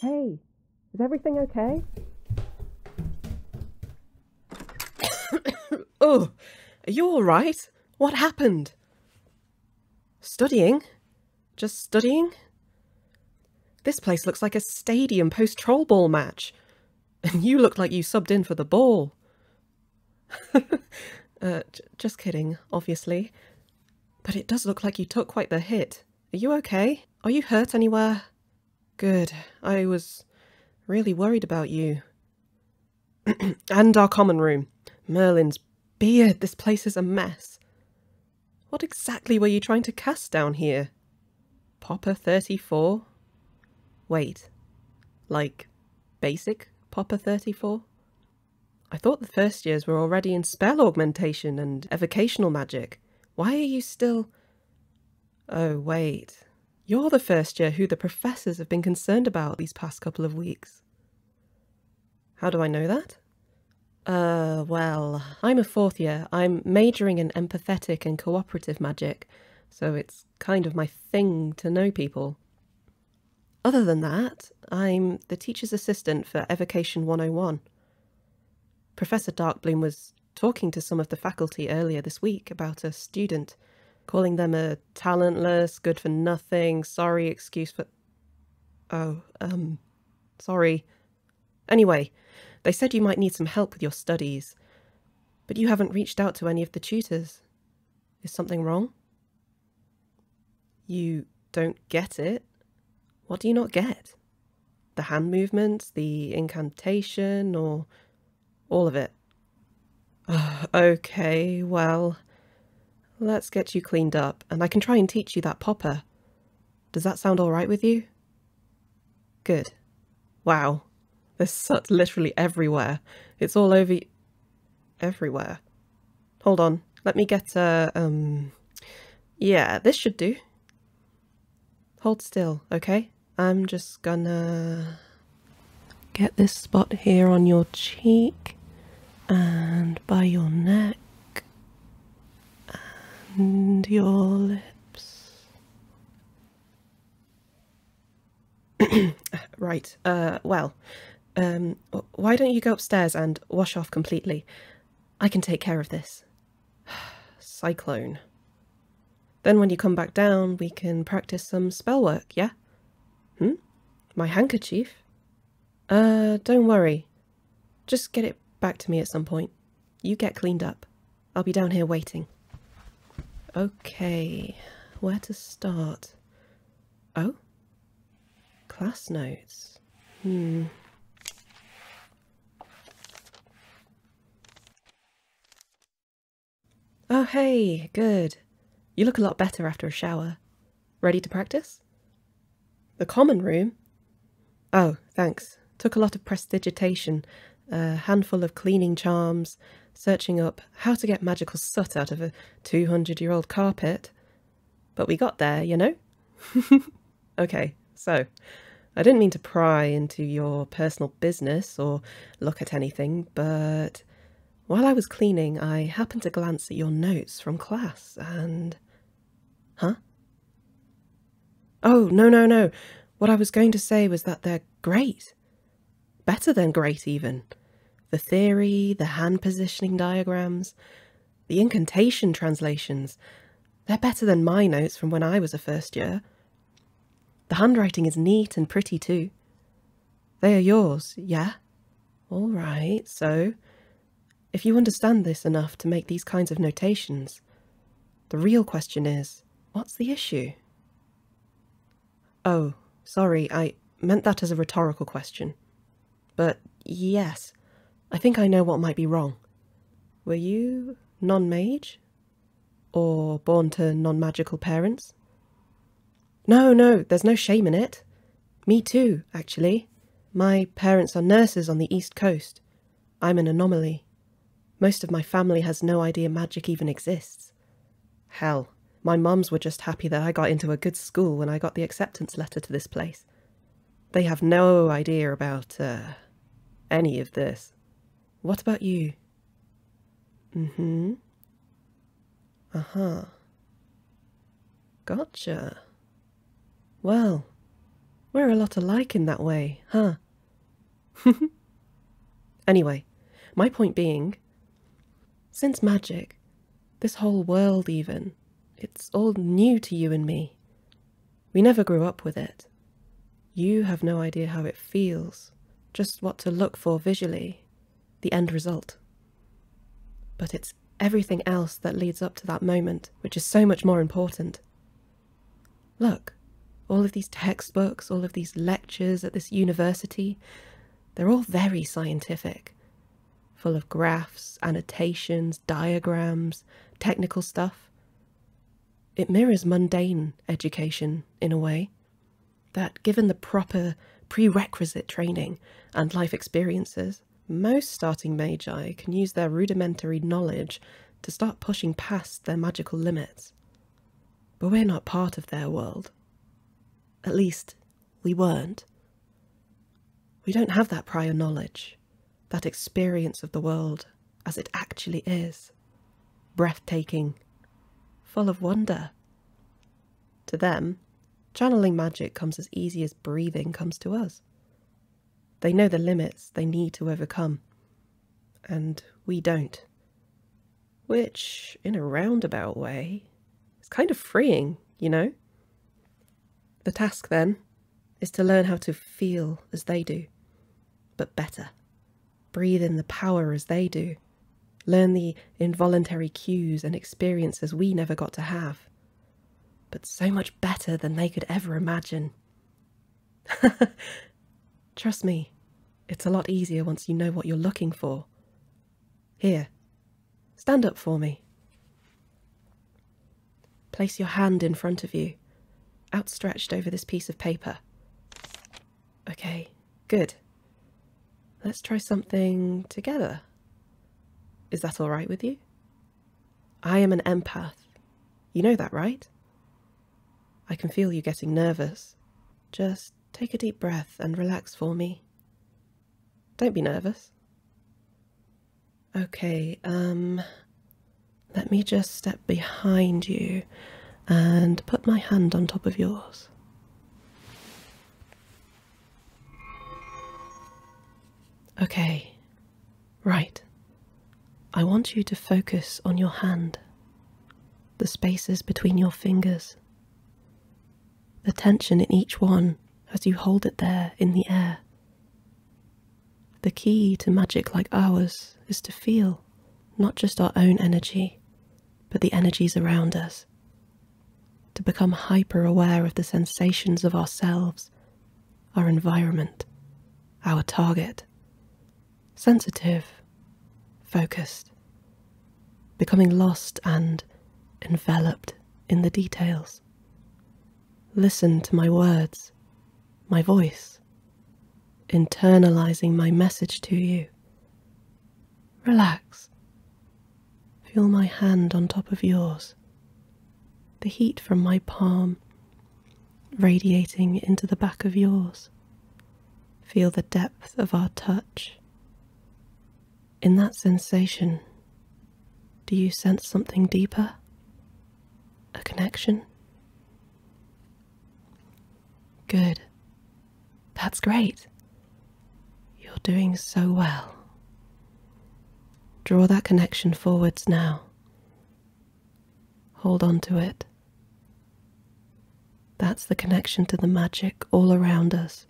Hey, is everything okay? oh, are you all right? What happened? Studying? Just studying? This place looks like a stadium post-troll ball match. you look like you subbed in for the ball. Uh, just kidding, obviously. But it does look like you took quite the hit. Are you okay? Are you hurt anywhere? Good. I was really worried about you. and our common room. Merlin's beard, this place is a mess. What exactly were you trying to cast down here? Popper 34? Wait, like basic Popper 34? I thought the first years were already in spell augmentation and evocational magic. Why are you still... Oh, wait. You're the first year who the professors have been concerned about these past couple of weeks. How do I know that? Uh, well, I'm a fourth year. I'm majoring in empathetic and cooperative magic, so it's kind of my thing to know people. Other than that, I'm the teacher's assistant for Evocation 101. Professor Darkbloom was talking to some of the faculty earlier this week about a student, calling them a talentless, good for nothing, sorry excuse for. Oh, um, sorry. Anyway, they said you might need some help with your studies. But you haven't reached out to any of the tutors. Is something wrong? You don't get it? What do you not get? The hand movements, the incantation, or all of it? okay, well, let's get you cleaned up and I can try and teach you that popper. Does that sound alright with you? Good. Wow. There's soot literally everywhere. It's all over... everywhere. Hold on. Let me get a... um... Yeah, this should do. Hold still, okay? I'm just gonna... Get this spot here on your cheek and by your neck and your lips. right, uh, well, um, why don't you go upstairs and wash off completely? I can take care of this. Cyclone. Then when you come back down, we can practice some spell work, yeah? Hmm? My handkerchief? Uh, don't worry. Just get it back to me at some point. You get cleaned up. I'll be down here waiting. Okay, where to start? Oh? Class notes. Hmm. Oh, hey, good. You look a lot better after a shower. Ready to practice? The common room? Oh, thanks. Took a lot of prestidigitation a handful of cleaning charms, searching up how to get magical soot out of a 200 year old carpet. But we got there, you know? okay, so I didn't mean to pry into your personal business or look at anything, but while I was cleaning, I happened to glance at your notes from class and. Huh? Oh, no, no, no. What I was going to say was that they're great. Better than great, even. The theory, the hand positioning diagrams, the incantation translations, they're better than my notes from when I was a first year. The handwriting is neat and pretty too. They are yours, yeah? All right, so if you understand this enough to make these kinds of notations, the real question is, what's the issue? Oh, sorry, I meant that as a rhetorical question. But yes, I think I know what might be wrong. Were you non-mage? Or born to non-magical parents? No, no, there's no shame in it. Me too, actually. My parents are nurses on the East Coast. I'm an anomaly. Most of my family has no idea magic even exists. Hell, my mums were just happy that I got into a good school when I got the acceptance letter to this place. They have no idea about, er, any of this. What about you? Mm-hmm. Uh-huh. Gotcha. Well, we're a lot alike in that way, huh? anyway, my point being, since magic, this whole world even, it's all new to you and me. We never grew up with it. You have no idea how it feels, just what to look for visually, the end result. But it's everything else that leads up to that moment which is so much more important. Look, all of these textbooks, all of these lectures at this university, they're all very scientific, full of graphs, annotations, diagrams, technical stuff. It mirrors mundane education in a way, that given the proper prerequisite training and life experiences, most starting magi can use their rudimentary knowledge to start pushing past their magical limits but we're not part of their world. At least, we weren't. We don't have that prior knowledge, that experience of the world as it actually is, breathtaking, full of wonder. To them, channeling magic comes as easy as breathing comes to us. They know the limits they need to overcome, and we don't. Which, in a roundabout way, is kind of freeing, you know? The task, then, is to learn how to feel as they do, but better. Breathe in the power as they do. Learn the involuntary cues and experiences we never got to have. But so much better than they could ever imagine. Trust me, it's a lot easier once you know what you're looking for. Here, stand up for me. Place your hand in front of you, outstretched over this piece of paper. Okay, good. Let's try something together. Is that all right with you? I am an empath. You know that, right? I can feel you getting nervous. Just take a deep breath and relax for me. Don't be nervous. Okay, um, let me just step behind you and put my hand on top of yours. Okay, right. I want you to focus on your hand, the spaces between your fingers, the tension in each one as you hold it there in the air. The key to magic like ours is to feel not just our own energy, but the energies around us, to become hyper aware of the sensations of ourselves, our environment, our target, sensitive, focused, becoming lost and enveloped in the details. Listen to my words, my voice, internalizing my message to you. Relax. Feel my hand on top of yours, the heat from my palm radiating into the back of yours. Feel the depth of our touch. In that sensation, do you sense something deeper? A connection? Good. That's great. You're doing so well. Draw that connection forwards now. Hold on to it. That's the connection to the magic all around us,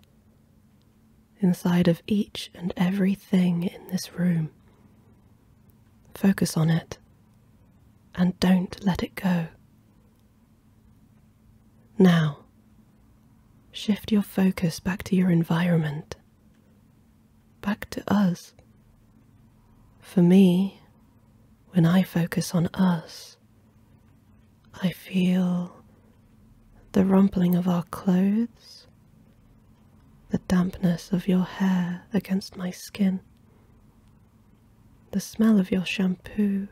inside of each and every thing in this room. Focus on it and don't let it go. Now, shift your focus back to your environment, back to us, for me, when I focus on us, I feel the rumpling of our clothes, the dampness of your hair against my skin, the smell of your shampoo,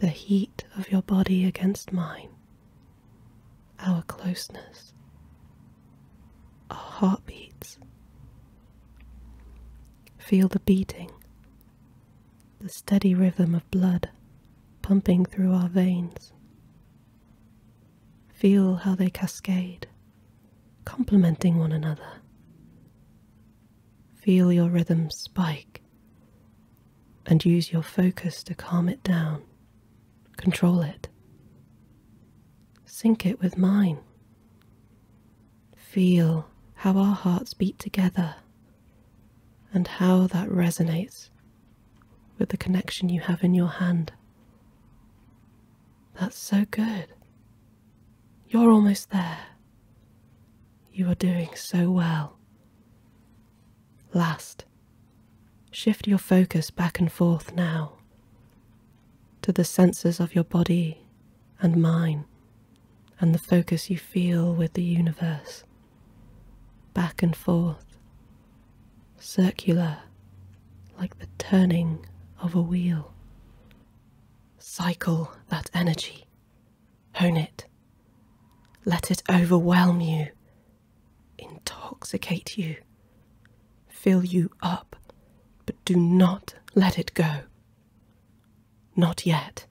the heat of your body against mine, our closeness, our heartbeats. Feel the beating, the steady rhythm of blood pumping through our veins. Feel how they cascade, complementing one another. Feel your rhythm spike and use your focus to calm it down, control it, sync it with mine. Feel how our hearts beat together and how that resonates with the connection you have in your hand. That's so good. You're almost there. You are doing so well. Last, shift your focus back and forth now to the senses of your body and mine, and the focus you feel with the universe. Back and forth, circular, like the turning of a wheel. Cycle that energy, hone it, let it overwhelm you, intoxicate you, fill you up, but do not let it go. Not yet.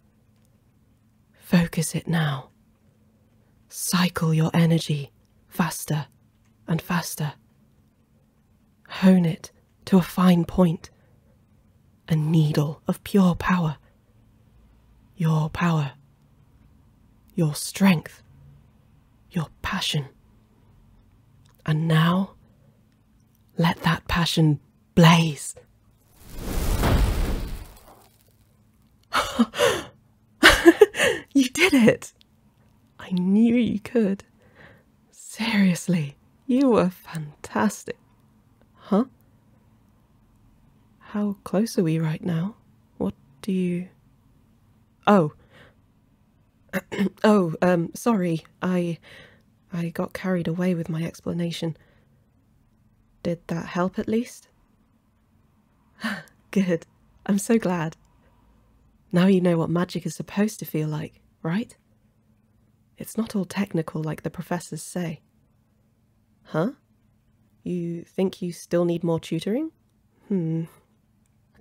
Focus it now. Cycle your energy faster and faster. Hone it to a fine point, a needle of pure power. Your power, your strength, your passion. And now let that passion blaze. you did it! I knew you could. Seriously, you were fantastic. Huh? How close are we right now? What do you. Oh, oh, um, sorry, I. I got carried away with my explanation. Did that help at least? Good. I'm so glad. Now you know what magic is supposed to feel like, right? It's not all technical like the professors say. Huh? You think you still need more tutoring? Hmm.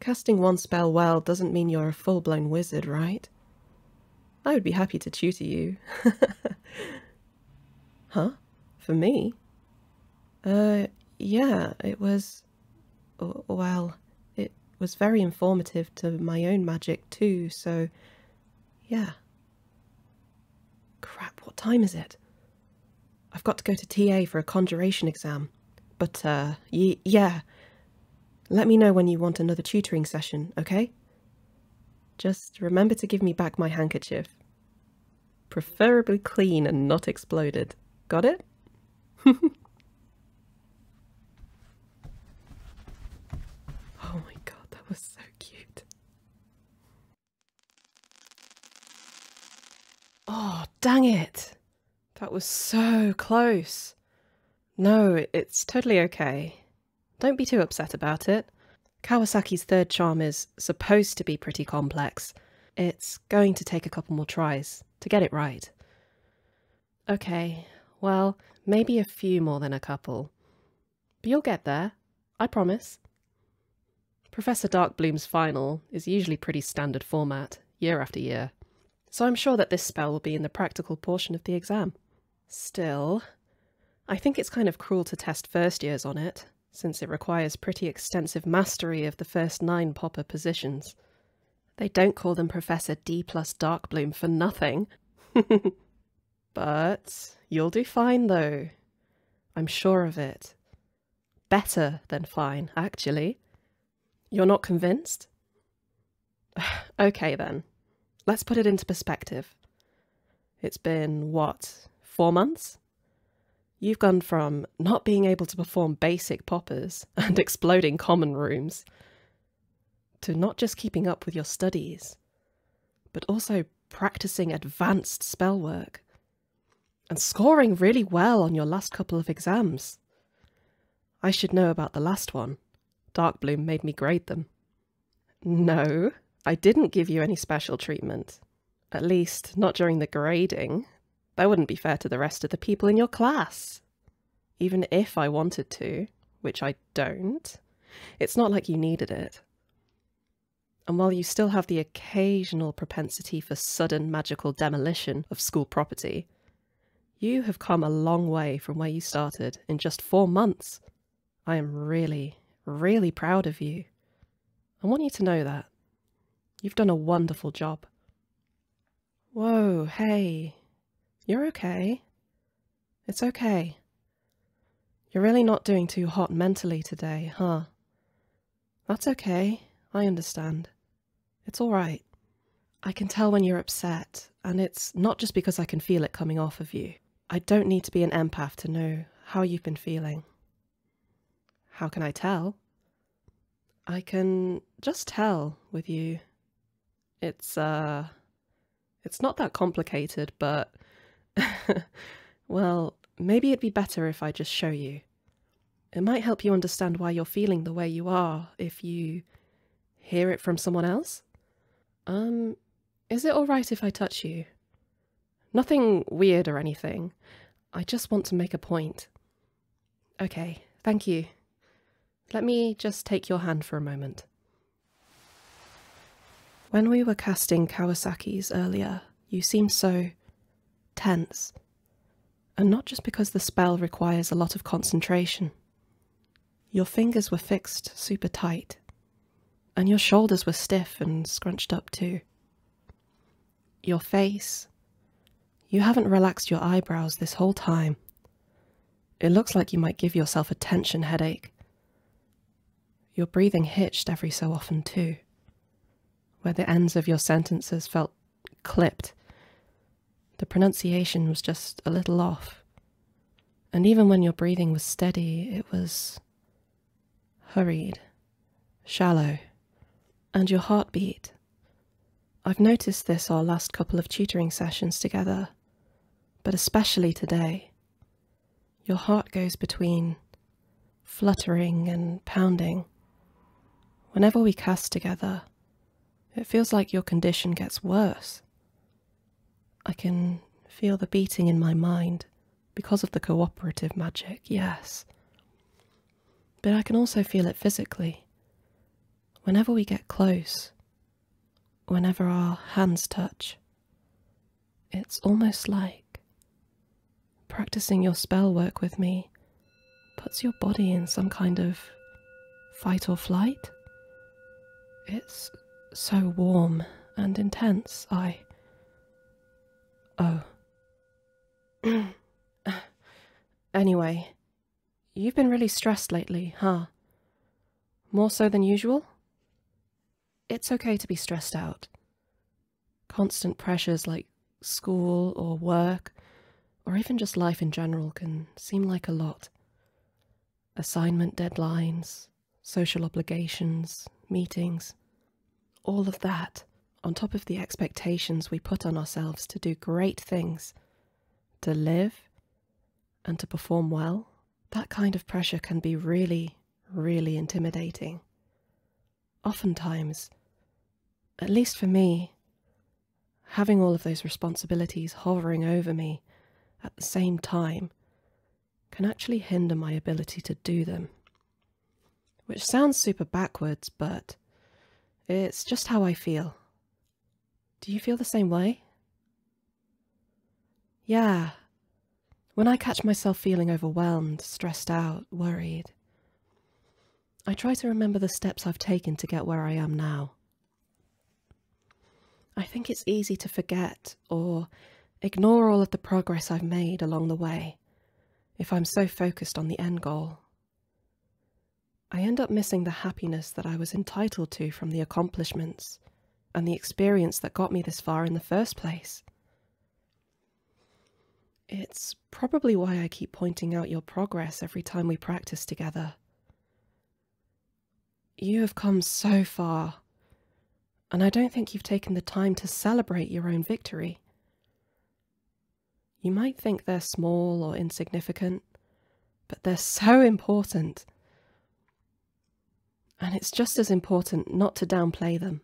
Casting one spell well doesn't mean you're a full-blown wizard, right? I would be happy to tutor you. huh? For me? Uh, yeah, it was... well, it was very informative to my own magic too, so... yeah. Crap, what time is it? I've got to go to TA for a conjuration exam. But, uh, yeah. Let me know when you want another tutoring session, okay? Just remember to give me back my handkerchief. Preferably clean and not exploded. Got it? oh my god, that was so cute. Oh, dang it! That was so close. No, it's totally okay. Don't be too upset about it. Kawasaki's third charm is supposed to be pretty complex. It's going to take a couple more tries to get it right. Okay, well, maybe a few more than a couple. But you'll get there, I promise. Professor Darkbloom's final is usually pretty standard format, year after year so I'm sure that this spell will be in the practical portion of the exam. Still, I think it's kind of cruel to test first years on it, since it requires pretty extensive mastery of the first nine popper positions. They don't call them Professor D plus Dark Bloom for nothing. but you'll do fine though. I'm sure of it. Better than fine, actually. You're not convinced? okay, then. Let's put it into perspective. It's been, what, four months? You've gone from not being able to perform basic poppers and exploding common rooms to not just keeping up with your studies, but also practicing advanced spell work and scoring really well on your last couple of exams. I should know about the last one. Dark Bloom made me grade them. No, I didn't give you any special treatment. At least, not during the grading. That wouldn't be fair to the rest of the people in your class. Even if I wanted to, which I don't, it's not like you needed it. And while you still have the occasional propensity for sudden magical demolition of school property, you have come a long way from where you started in just four months. I am really, really proud of you. I want you to know that. You've done a wonderful job. Whoa, hey. You're okay. It's okay. You're really not doing too hot mentally today, huh? That's okay. I understand. It's all right. I can tell when you're upset, and it's not just because I can feel it coming off of you. I don't need to be an empath to know how you've been feeling. How can I tell? I can just tell with you. It's, uh, it's not that complicated, but, well, maybe it'd be better if I just show you. It might help you understand why you're feeling the way you are if you hear it from someone else? Um, is it alright if I touch you? Nothing weird or anything. I just want to make a point. Okay, thank you. Let me just take your hand for a moment. When we were casting Kawasaki's earlier, you seemed so tense and not just because the spell requires a lot of concentration. Your fingers were fixed super tight, and your shoulders were stiff and scrunched up too. Your face, you haven't relaxed your eyebrows this whole time. It looks like you might give yourself a tension headache. Your breathing hitched every so often too, where the ends of your sentences felt clipped. The pronunciation was just a little off. And even when your breathing was steady, it was hurried, shallow, and your heartbeat. I've noticed this our last couple of tutoring sessions together, but especially today. Your heart goes between fluttering and pounding. Whenever we cast together, it feels like your condition gets worse. I can feel the beating in my mind because of the cooperative magic, yes. But I can also feel it physically. Whenever we get close, whenever our hands touch, it's almost like practicing your spell work with me puts your body in some kind of fight or flight. It's so warm and intense, I. Oh. anyway, you've been really stressed lately, huh? More so than usual? It's okay to be stressed out. Constant pressures like school or work or even just life in general, can seem like a lot. Assignment deadlines, social obligations, meetings, all of that, on top of the expectations we put on ourselves to do great things, to live, and to perform well, that kind of pressure can be really, really intimidating. Oftentimes, at least for me, having all of those responsibilities hovering over me at the same time can actually hinder my ability to do them. Which sounds super backwards, but it's just how I feel. Do you feel the same way? Yeah. When I catch myself feeling overwhelmed, stressed out, worried, I try to remember the steps I've taken to get where I am now. I think it's easy to forget or ignore all of the progress I've made along the way if I'm so focused on the end goal. I end up missing the happiness that I was entitled to from the accomplishments and the experience that got me this far in the first place. It's probably why I keep pointing out your progress every time we practice together you have come so far, and I don't think you've taken the time to celebrate your own victory. You might think they're small or insignificant, but they're so important. And it's just as important not to downplay them.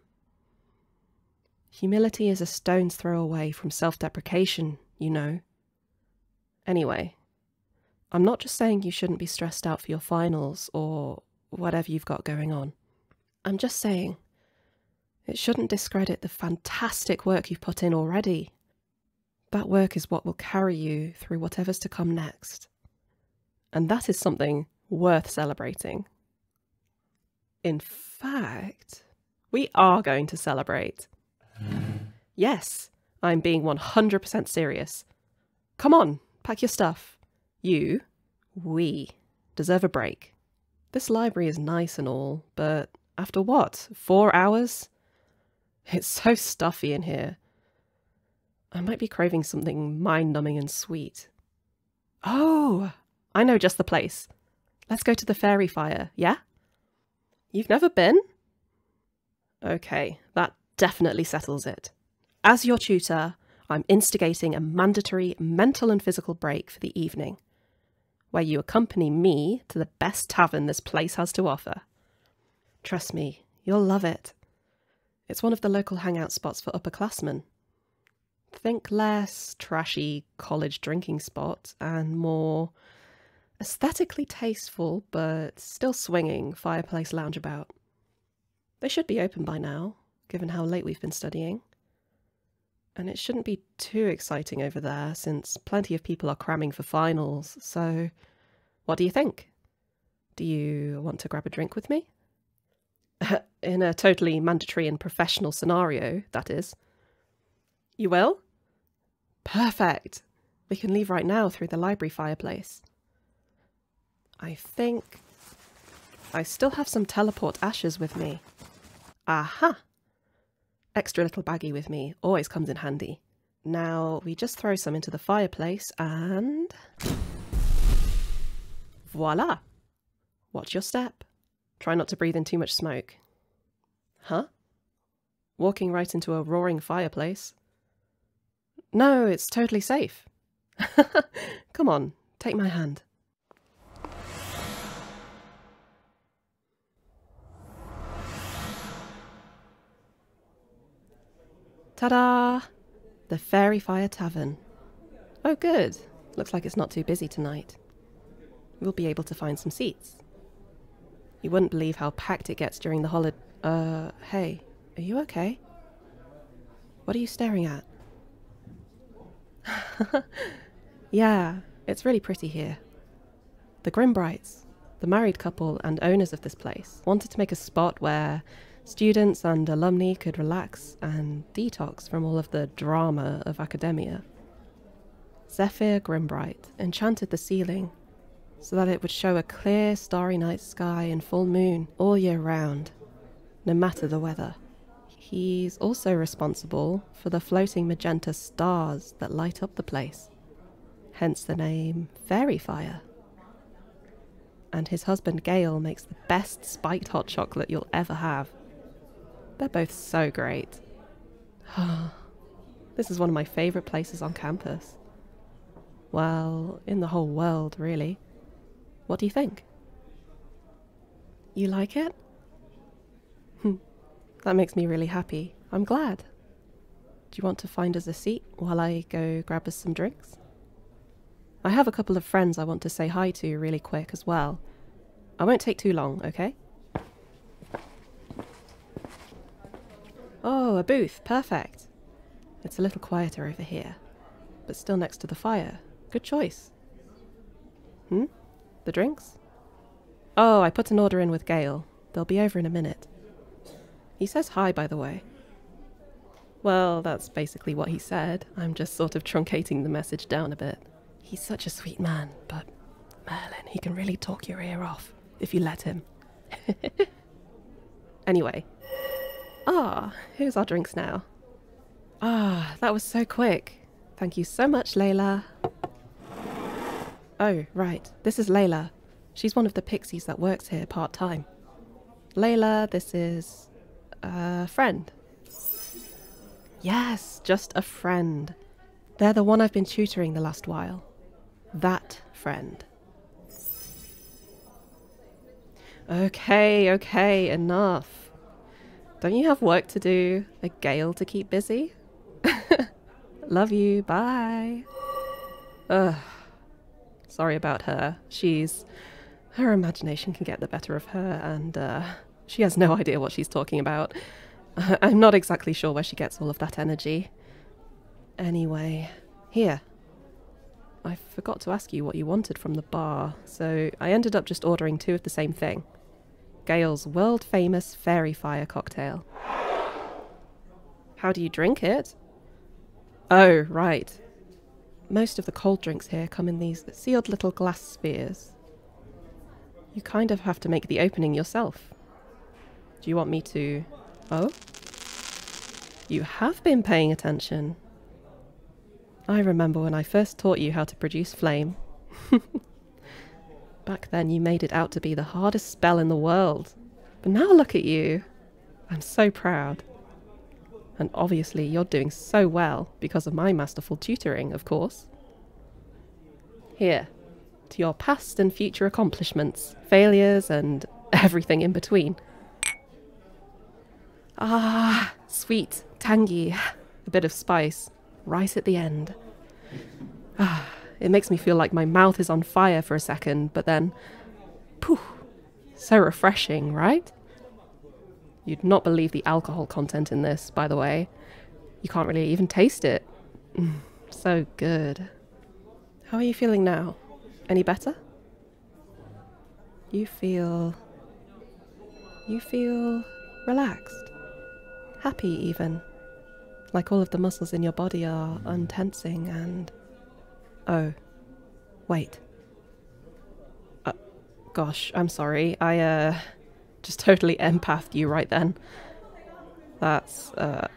Humility is a stone's throw away from self deprecation, you know, Anyway, I'm not just saying you shouldn't be stressed out for your finals or whatever you've got going on. I'm just saying it shouldn't discredit the fantastic work you've put in already. That work is what will carry you through whatever's to come next. And that is something worth celebrating. In fact, we are going to celebrate. Yes, I'm being 100% serious. Come on, pack your stuff. You, we, deserve a break. This library is nice and all, but after what? Four hours? It's so stuffy in here. I might be craving something mind-numbing and sweet. Oh, I know just the place. Let's go to the fairy fire, yeah? You've never been? Okay, that definitely settles it. As your tutor, I'm instigating a mandatory mental and physical break for the evening, where you accompany me to the best tavern this place has to offer. Trust me, you'll love it. It's one of the local hangout spots for upperclassmen. Think less trashy college drinking spot and more aesthetically tasteful but still swinging fireplace lounge. About They should be open by now, given how late we've been studying. And it shouldn't be too exciting over there, since plenty of people are cramming for finals, so what do you think? Do you want to grab a drink with me? In a totally mandatory and professional scenario, that is. You will? Perfect. We can leave right now through the library fireplace. I think... I still have some teleport ashes with me. Aha! Extra little baggie with me. Always comes in handy. Now, we just throw some into the fireplace and... Voila! Watch your step. Try not to breathe in too much smoke. Huh? walking right into a roaring fireplace. No, it's totally safe. Come on, take my hand. Ta-da! The Fairy Fire Tavern. Oh good, looks like it's not too busy tonight. We'll be able to find some seats. You wouldn't believe how packed it gets during the holiday. Uh, hey, are you okay? What are you staring at? yeah, it's really pretty here. The Grimbrights, the married couple and owners of this place, wanted to make a spot where students and alumni could relax and detox from all of the drama of academia. Zephyr Grimbright enchanted the ceiling so that it would show a clear, starry night sky and full moon all year round, no matter the weather. He's also responsible for the floating magenta stars that light up the place, hence the name Fairy Fire. And his husband Gale makes the best spiked hot chocolate you'll ever have. They're both so great. this is one of my favourite places on campus. Well, in the whole world, really. What do you think? You like it? Hmm. that makes me really happy. I'm glad. Do you want to find us a seat while I go grab us some drinks? I have a couple of friends I want to say hi to really quick as well. I won't take too long, okay? Oh, a booth. Perfect. It's a little quieter over here, but still next to the fire. Good choice. Hmm? The drinks? Oh, I put an order in with Gail. They'll be over in a minute. He says hi, by the way. Well, that's basically what he said. I'm just sort of truncating the message down a bit. He's such a sweet man, but Merlin, he can really talk your ear off if you let him. anyway. Ah, here's our drinks now. Ah, that was so quick. Thank you so much, Layla. Oh, right. This is Layla. She's one of the pixies that works here part time. Layla, this is a friend. Yes, just a friend. They're the one I've been tutoring the last while. That friend. Okay, okay, enough. Don't you have work to do? A gale to keep busy? Love you, bye. Ugh. Sorry about her. She's. Her imagination can get the better of her, and, uh, she has no idea what she's talking about. I'm not exactly sure where she gets all of that energy. Anyway, here. I forgot to ask you what you wanted from the bar, so I ended up just ordering two of the same thing. Gail's world famous fairy fire cocktail. How do you drink it? Oh, right. Most of the cold drinks here come in these sealed little glass spheres. You kind of have to make the opening yourself. Do you want me to... Oh? You have been paying attention. I remember when I first taught you how to produce flame. Back then you made it out to be the hardest spell in the world. But now look at you. I'm so proud. And obviously you're doing so well because of my masterful tutoring, of course. Here, to your past and future accomplishments, failures, and everything in between. Ah, sweet, tangy, a bit of spice, right at the end. Ah, it makes me feel like my mouth is on fire for a second, but then, poof, so refreshing, right? You'd not believe the alcohol content in this, by the way. You can't really even taste it. so good. How are you feeling now? Any better? You feel. You feel relaxed, happy even. Like all of the muscles in your body are untensing and. Oh, wait. Uh, gosh, I'm sorry. I, uh just totally empathed you right then. That's, uh,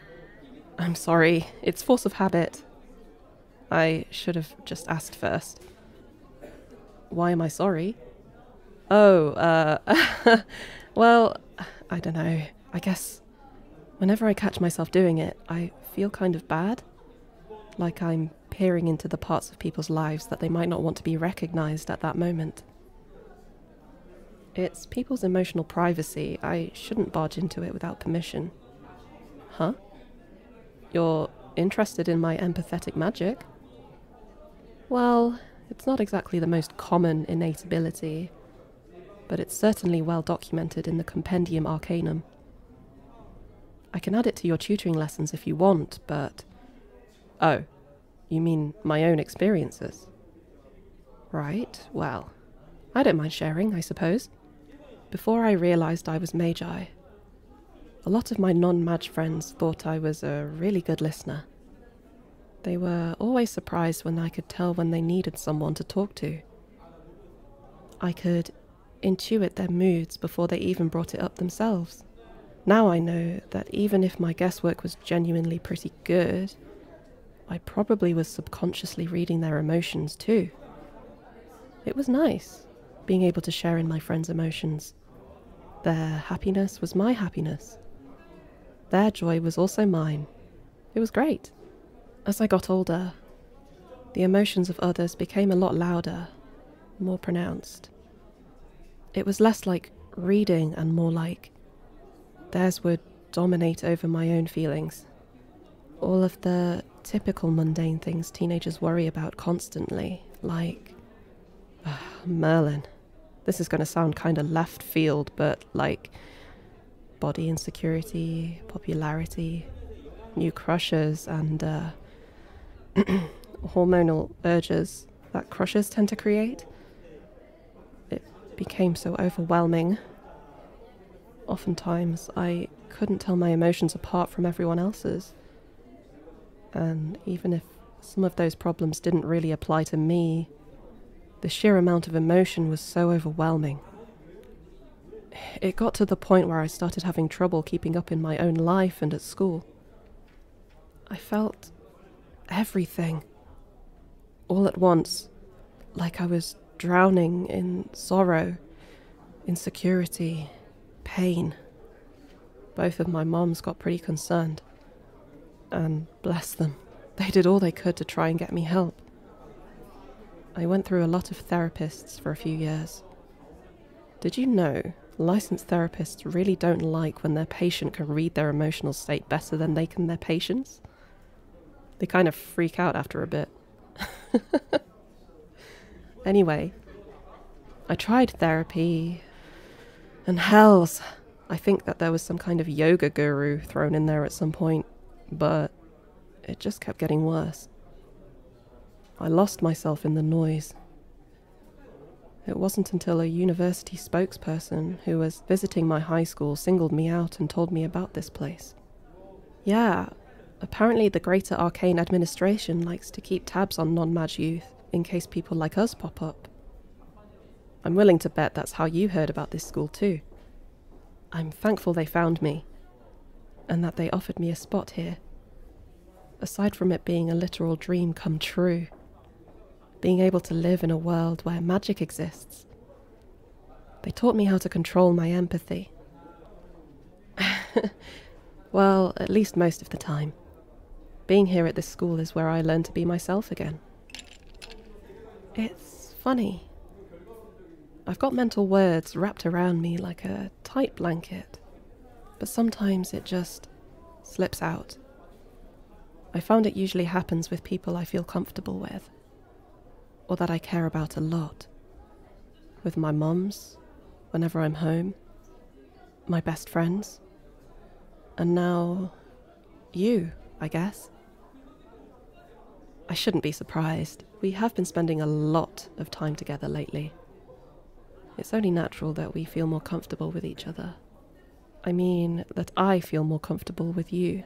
I'm sorry. It's force of habit. I should have just asked first. Why am I sorry? Oh, uh, well, I don't know. I guess whenever I catch myself doing it, I feel kind of bad. Like I'm peering into the parts of people's lives that they might not want to be recognized at that moment. It's people's emotional privacy. I shouldn't barge into it without permission. Huh? You're interested in my empathetic magic? Well, it's not exactly the most common innate ability, but it's certainly well documented in the Compendium Arcanum. I can add it to your tutoring lessons if you want, but. Oh, you mean my own experiences? Right, well, I don't mind sharing, I suppose. Before I realised I was Magi, a lot of my non Maj friends thought I was a really good listener. They were always surprised when I could tell when they needed someone to talk to. I could intuit their moods before they even brought it up themselves. Now I know that even if my guesswork was genuinely pretty good. I probably was subconsciously reading their emotions too. It was nice being able to share in my friends' emotions. Their happiness was my happiness. Their joy was also mine. It was great. As I got older, the emotions of others became a lot louder, more pronounced. It was less like reading and more like theirs would dominate over my own feelings. All of the typical mundane things teenagers worry about constantly, like. Ah, Merlin. This is going to sound kind of left field, but like. body insecurity, popularity, new crushes, and uh, hormonal urges that crushes tend to create. It became so overwhelming. Oftentimes, I couldn't tell my emotions apart from everyone else's. And even if some of those problems didn't really apply to me, the sheer amount of emotion was so overwhelming. It got to the point where I started having trouble keeping up in my own life and at school. I felt everything. All at once, like I was drowning in sorrow, insecurity, pain. Both of my moms got pretty concerned. And bless them, they did all they could to try and get me help. I went through a lot of therapists for a few years. Did you know licensed therapists really don't like when their patient can read their emotional state better than they can their patients. They kind of freak out after a bit. anyway, I tried therapy, and hells, I think that there was some kind of yoga guru thrown in there at some point, but it just kept getting worse. I lost myself in the noise, it wasn't until a university spokesperson who was visiting my high school singled me out and told me about this place. Yeah, apparently the Greater Arcane Administration likes to keep tabs on non mag youth in case people like us pop up. I'm willing to bet that's how you heard about this school too. I'm thankful they found me, and that they offered me a spot here. Aside from it being a literal dream come true, being able to live in a world where magic exists. They taught me how to control my empathy. well, at least most of the time. Being here at this school is where I learn to be myself again. It's funny. I've got mental words wrapped around me like a tight blanket, but sometimes it just slips out. I found it usually happens with people I feel comfortable with, or that I care about a lot. With my mums, whenever I'm home, my best friends, and now you, I guess. I shouldn't be surprised. We have been spending a lot of time together lately. It's only natural that we feel more comfortable with each other I mean that I feel more comfortable with you.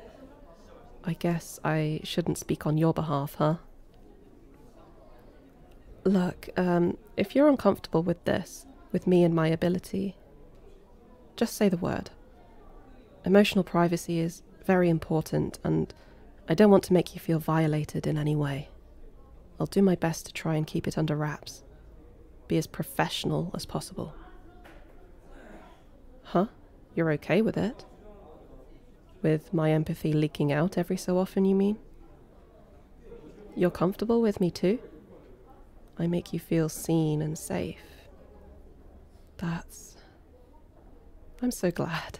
I guess I shouldn't speak on your behalf, huh? Look, um, if you're uncomfortable with this, with me and my ability, just say the word. Emotional privacy is very important, and I don't want to make you feel violated in any way. I'll do my best to try and keep it under wraps. Be as professional as possible. Huh? You're okay with it? With my empathy leaking out every so often, you mean? You're comfortable with me too? I make you feel seen and safe. That's. I'm so glad.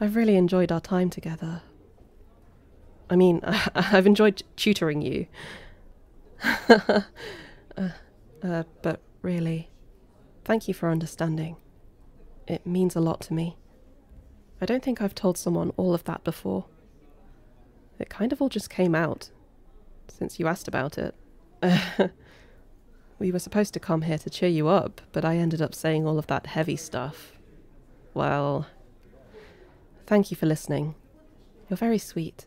I've really enjoyed our time together. I mean, I, have enjoyed tutoring you. Uh, uh, but really, thank you for understanding. It means a lot to me. I don't think I've told someone all of that before. It kind of all just came out, since you asked about it. we were supposed to come here to cheer you up, but I ended up saying all of that heavy stuff. Well, thank you for listening. You're very sweet.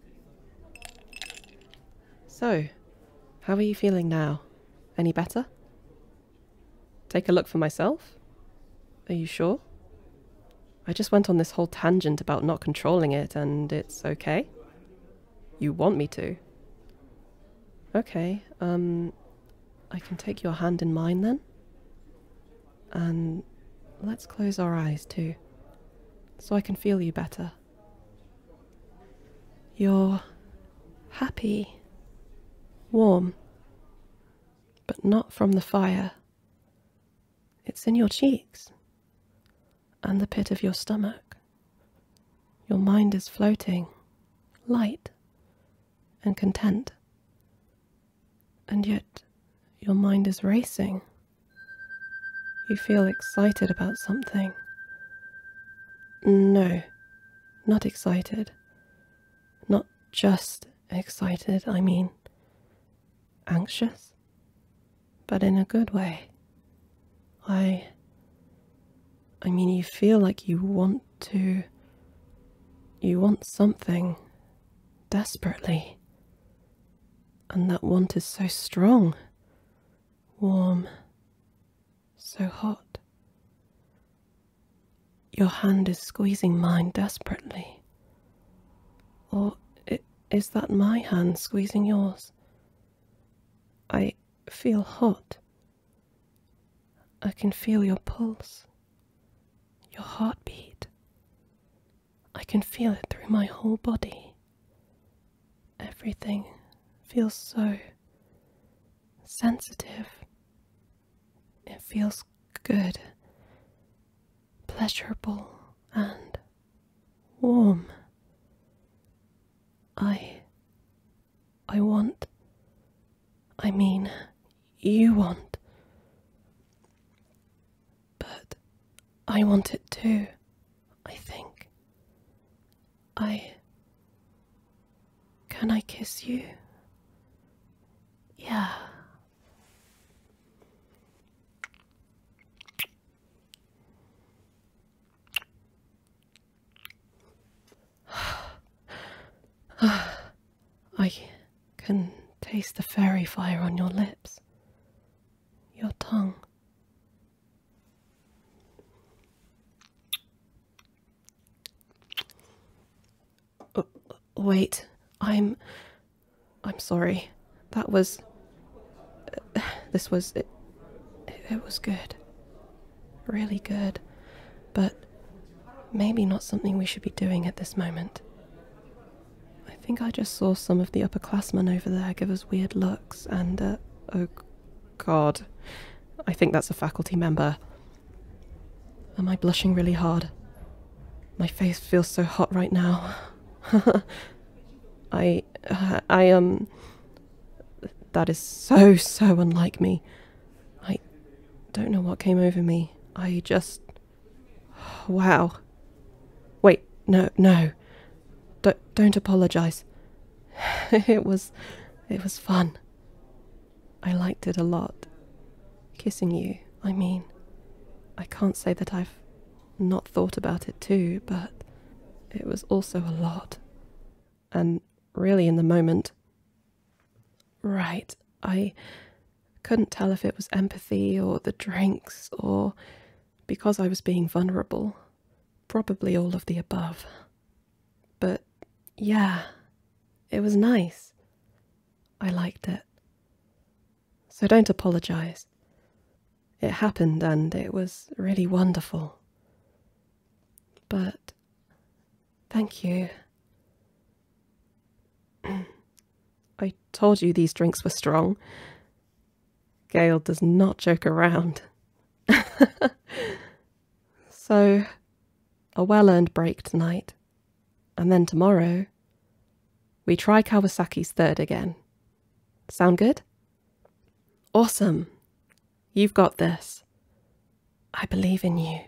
So, how are you feeling now? Any better? Take a look for myself? Are you sure? I just went on this whole tangent about not controlling it, and it's okay? You want me to? Okay, um, I can take your hand in mine then? And let's close our eyes too, so I can feel you better. You're happy, warm, but not from the fire. It's in your cheeks and the pit of your stomach. Your mind is floating, light and content, and yet your mind is racing. You feel excited about something. No, not excited. Not just excited, I mean anxious, but in a good way. I. I mean, you feel like you want to. You want something desperately. And that want is so strong, warm, so hot. Your hand is squeezing mine desperately. Or is that my hand squeezing yours? I feel hot. I can feel your pulse, your heartbeat. I can feel it through my whole body. Everything feels so sensitive. It feels good, pleasurable, and warm. I. I want. I mean, you want. But I want it too, I think. I. Can I kiss you? Yeah. I can taste the fairy fire on your lips, your tongue. Uh, wait, I'm. I'm sorry. That was. this was. It, it was good. Really good. But maybe not something we should be doing at this moment. I think I just saw some of the upperclassmen over there give us weird looks and, uh, oh god. I think that's a faculty member. Am I blushing really hard? My face feels so hot right now. I, uh, I, um, that is so, so unlike me. I don't know what came over me. I just Wow. Wait, no, no. Don't, don't apologize. it was. it was fun. I liked it a lot. Kissing you, I mean. I can't say that I've not thought about it too, but it was also a lot. And really in the moment. Right, I. Couldn't tell if it was empathy or the drinks or because I was being vulnerable. Probably all of the above. But yeah, it was nice. I liked it. So don't apologise. It happened and it was really wonderful. But thank you. I told you these drinks were strong. Gale does not joke around. so, a well earned break tonight. And then tomorrow, we try Kawasaki's third again. Sound good? Awesome. You've got this. I believe in you.